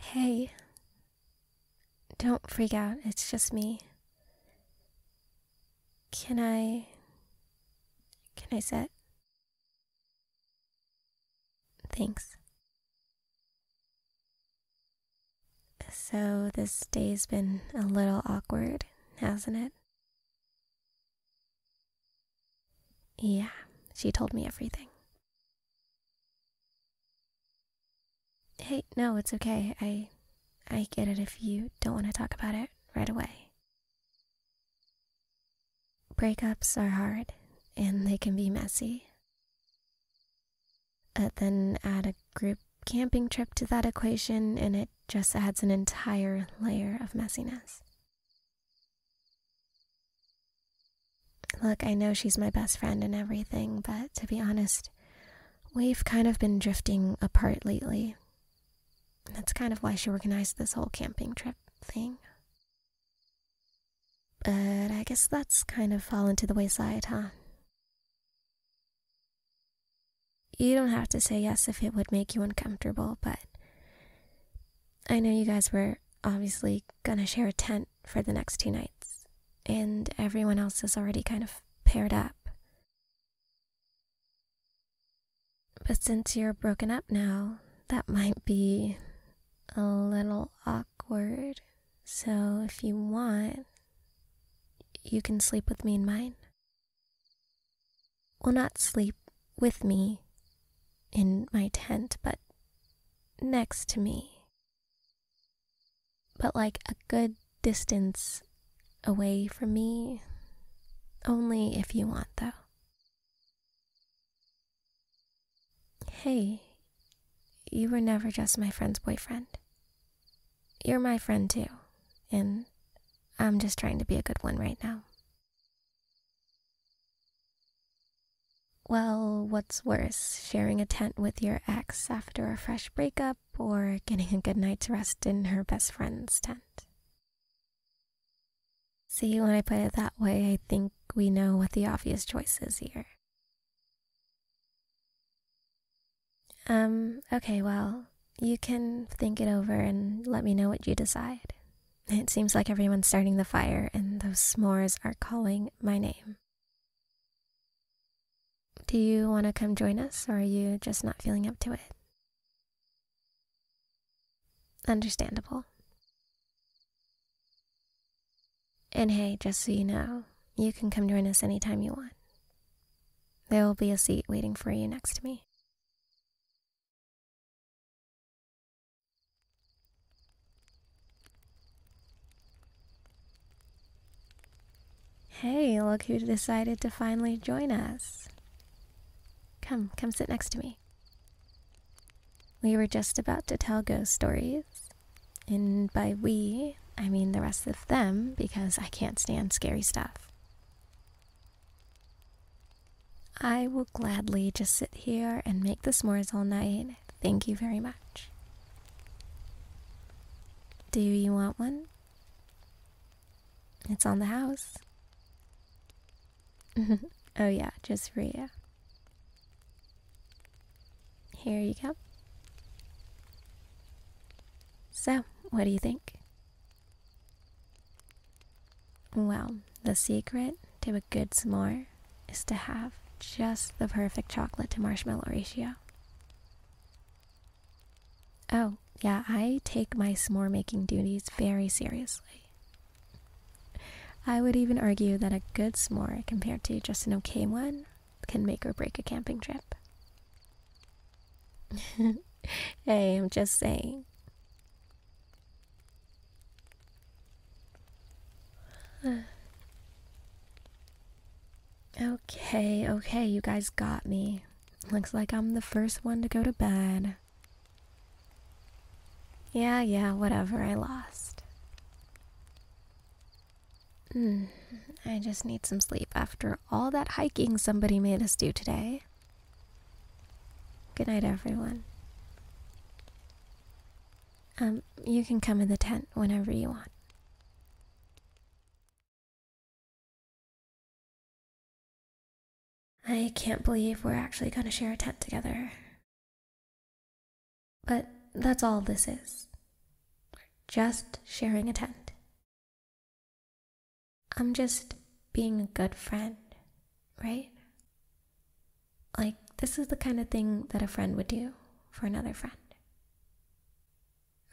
Hey, don't freak out, it's just me. Can I. Can I sit? Thanks. So, this day's been a little awkward, hasn't it? Yeah, she told me everything. Hey, no, it's okay. I I get it if you don't want to talk about it right away. Breakups are hard and they can be messy. Uh, then add a group camping trip to that equation and it just adds an entire layer of messiness. Look, I know she's my best friend and everything, but to be honest, we've kind of been drifting apart lately. That's kind of why she organized this whole camping trip thing. But I guess that's kind of fallen to the wayside, huh? You don't have to say yes if it would make you uncomfortable, but I know you guys were obviously gonna share a tent for the next two nights, and everyone else is already kind of paired up. But since you're broken up now, that might be a little awkward. So if you want, you can sleep with me in mine. Well, not sleep, with me in my tent, but next to me. But like a good distance away from me, only if you want, though. Hey, you were never just my friend's boyfriend. You're my friend too, and I'm just trying to be a good one right now. Well, what's worse, sharing a tent with your ex after a fresh breakup or getting a good night's rest in her best friend's tent? See, when I put it that way, I think we know what the obvious choice is here. Um, okay, well, you can think it over and let me know what you decide. It seems like everyone's starting the fire, and those s'mores are calling my name. Do you want to come join us, or are you just not feeling up to it? Understandable. And hey, just so you know, you can come join us anytime you want. There will be a seat waiting for you next to me. Hey, look who decided to finally join us. Come, come sit next to me. We were just about to tell ghost stories. And by we, I mean the rest of them, because I can't stand scary stuff. I will gladly just sit here and make the s'mores all night. Thank you very much. Do you want one? It's on the house. oh, yeah, just for you. Here you go. So, what do you think? Well, the secret to a good s'more is to have just the perfect chocolate to marshmallow ratio. Oh, yeah, I take my s'more making duties very seriously. I would even argue that a good s'more compared to just an okay one can make or break a camping trip. hey, I'm just saying okay, okay, you guys got me. Looks like I'm the first one to go to bed. Yeah, yeah, whatever, I lost. Hmm, I just need some sleep after all that hiking somebody made us do today. Good night, everyone. Um, you can come in the tent whenever you want. I can't believe we're actually going to share a tent together. But that's all this is. Just sharing a tent. I'm just being a good friend, right? Like, this is the kind of thing that a friend would do for another friend.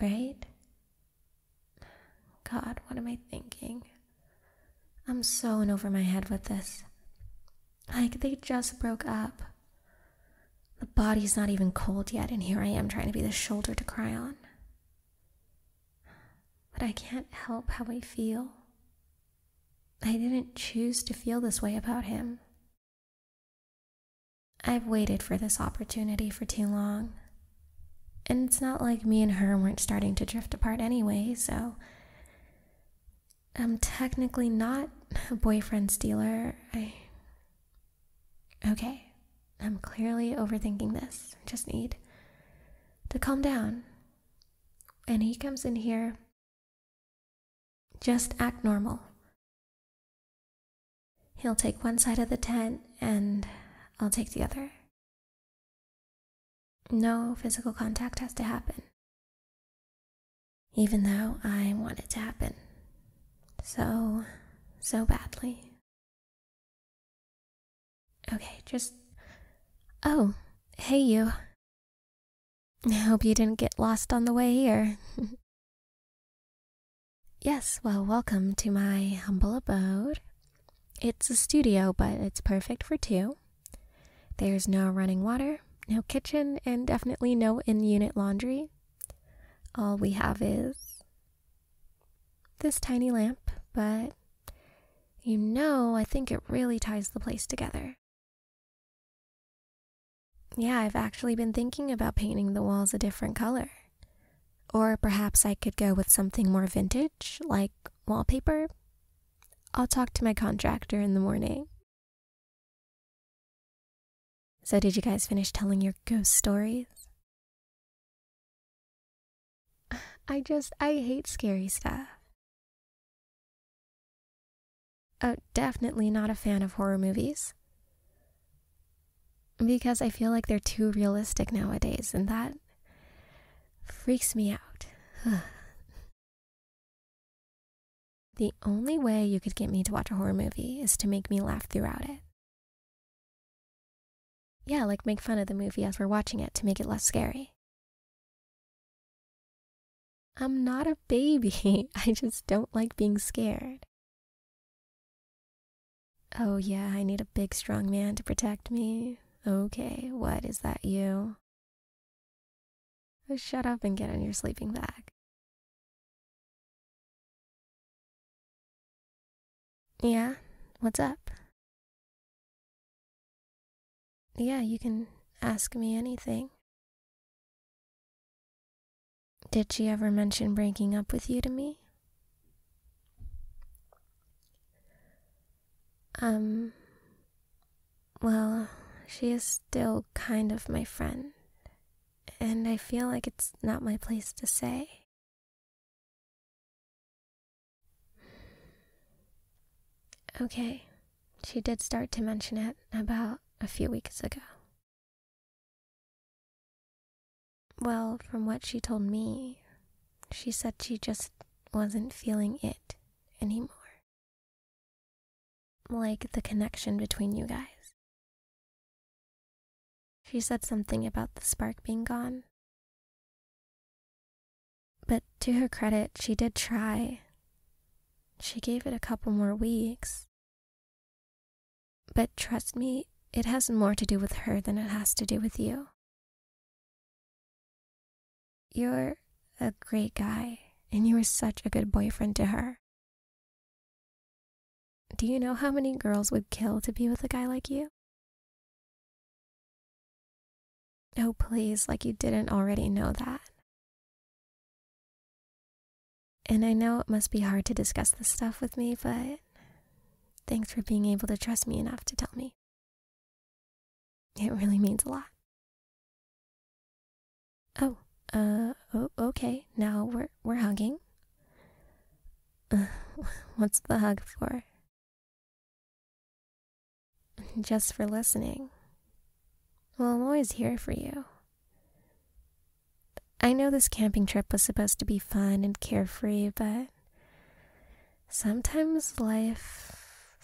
Right? God, what am I thinking? I'm so in over my head with this. Like, they just broke up. The body's not even cold yet, and here I am trying to be the shoulder to cry on. But I can't help how I feel. I didn't choose to feel this way about him. I've waited for this opportunity for too long. And it's not like me and her weren't starting to drift apart anyway, so. I'm technically not a boyfriend stealer. I. Okay, I'm clearly overthinking this. I just need to calm down and he comes in here, just act normal. He'll take one side of the tent and I'll take the other. No physical contact has to happen, even though I want it to happen so, so badly. Okay, just. Oh, hey you. I hope you didn't get lost on the way here. yes, well, welcome to my humble abode. It's a studio, but it's perfect for two. There's no running water, no kitchen, and definitely no in unit laundry. All we have is this tiny lamp, but you know, I think it really ties the place together. Yeah, I've actually been thinking about painting the walls a different color. Or perhaps I could go with something more vintage, like wallpaper. I'll talk to my contractor in the morning. So, did you guys finish telling your ghost stories? I just, I hate scary stuff. Oh, definitely not a fan of horror movies. Because I feel like they're too realistic nowadays, and that freaks me out. the only way you could get me to watch a horror movie is to make me laugh throughout it. Yeah, like make fun of the movie as we're watching it to make it less scary. I'm not a baby. I just don't like being scared. Oh, yeah, I need a big, strong man to protect me. Okay, what is that you? Oh, shut up and get in your sleeping bag. Yeah, what's up? Yeah, you can ask me anything. Did she ever mention breaking up with you to me? Um, well, she is still kind of my friend, and I feel like it's not my place to say. Okay, she did start to mention it about a few weeks ago. Well, from what she told me, she said she just wasn't feeling it anymore. Like the connection between you guys. She said something about the spark being gone. But to her credit, she did try. She gave it a couple more weeks. But trust me, it has more to do with her than it has to do with you. You're a great guy, and you were such a good boyfriend to her. Do you know how many girls would kill to be with a guy like you? No, oh, please, like you didn't already know that. And I know it must be hard to discuss this stuff with me, but thanks for being able to trust me enough to tell me. It really means a lot. Oh, uh, oh, okay. Now we're we're hugging. what's the hug for? just for listening. Well, I'm always here for you. I know this camping trip was supposed to be fun and carefree, but sometimes life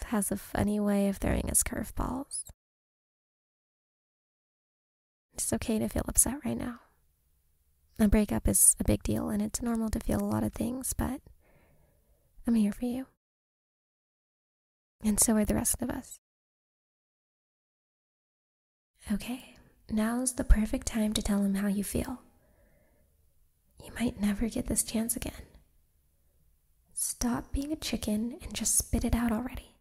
has a funny way of throwing us curveballs. It's okay to feel upset right now. A breakup is a big deal, and it's normal to feel a lot of things, but I'm here for you. And so are the rest of us. Okay, now's the perfect time to tell him how you feel. You might never get this chance again. Stop being a chicken and just spit it out already.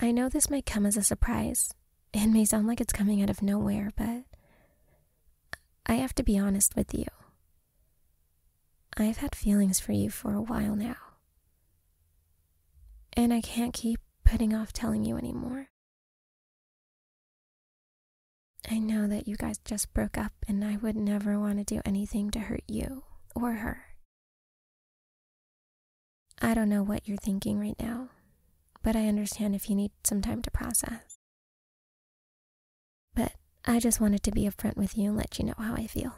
I know this might come as a surprise. and may sound like it's coming out of nowhere, but I have to be honest with you. I've had feelings for you for a while now. And I can't keep putting off telling you any more. I know that you guys just broke up, and I would never want to do anything to hurt you or her. I don't know what you're thinking right now, but I understand if you need some time to process. But I just wanted to be upfront with you and let you know how I feel.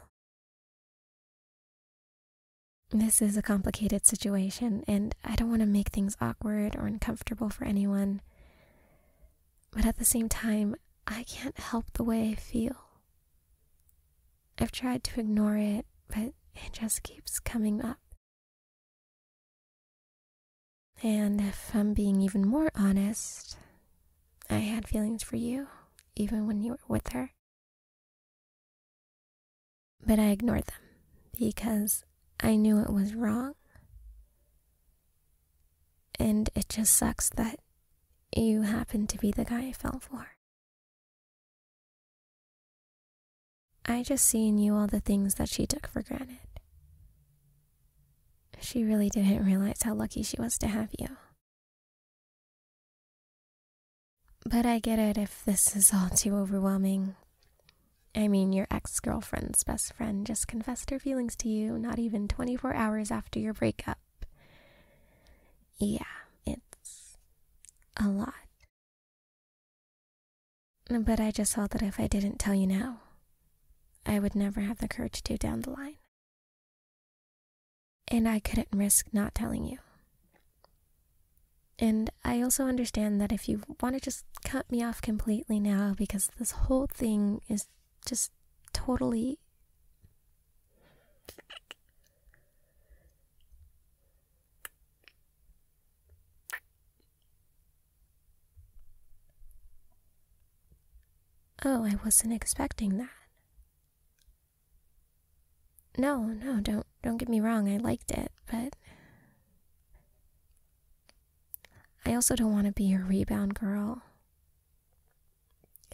This is a complicated situation, and I don't want to make things awkward or uncomfortable for anyone. But at the same time, I can't help the way I feel. I've tried to ignore it, but it just keeps coming up. And if I'm being even more honest, I had feelings for you even when you were with her. But I ignored them because I knew it was wrong. And it just sucks that you happened to be the guy I fell for. I just see in you all the things that she took for granted. She really didn't realize how lucky she was to have you. But I get it if this is all too overwhelming. I mean, your ex girlfriend's best friend just confessed her feelings to you not even 24 hours after your breakup. Yeah, it's a lot. But I just felt that if I didn't tell you now, I would never have the courage to down the line. And I couldn't risk not telling you. And I also understand that if you want to just cut me off completely now because this whole thing is just totally. Oh, I wasn't expecting that. No, no, don't don't get me wrong. I liked it, but I also don't want to be your rebound girl.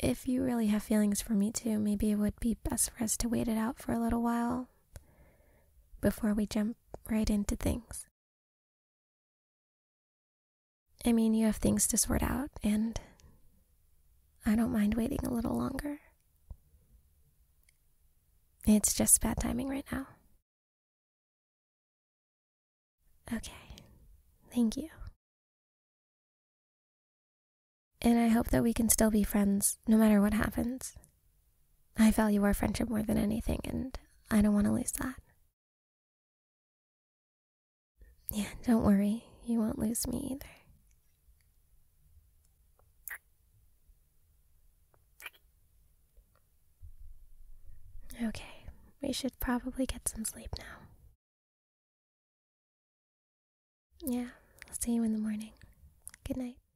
If you really have feelings for me too, maybe it would be best for us to wait it out for a little while before we jump right into things. I mean, you have things to sort out, and I don't mind waiting a little longer. It's just bad timing right now. Okay, thank you. And I hope that we can still be friends no matter what happens. I value our friendship more than anything, and I don't want to lose that. Yeah, don't worry, you won't lose me either. Okay, we should probably get some sleep now. Yeah, I'll see you in the morning. Good night.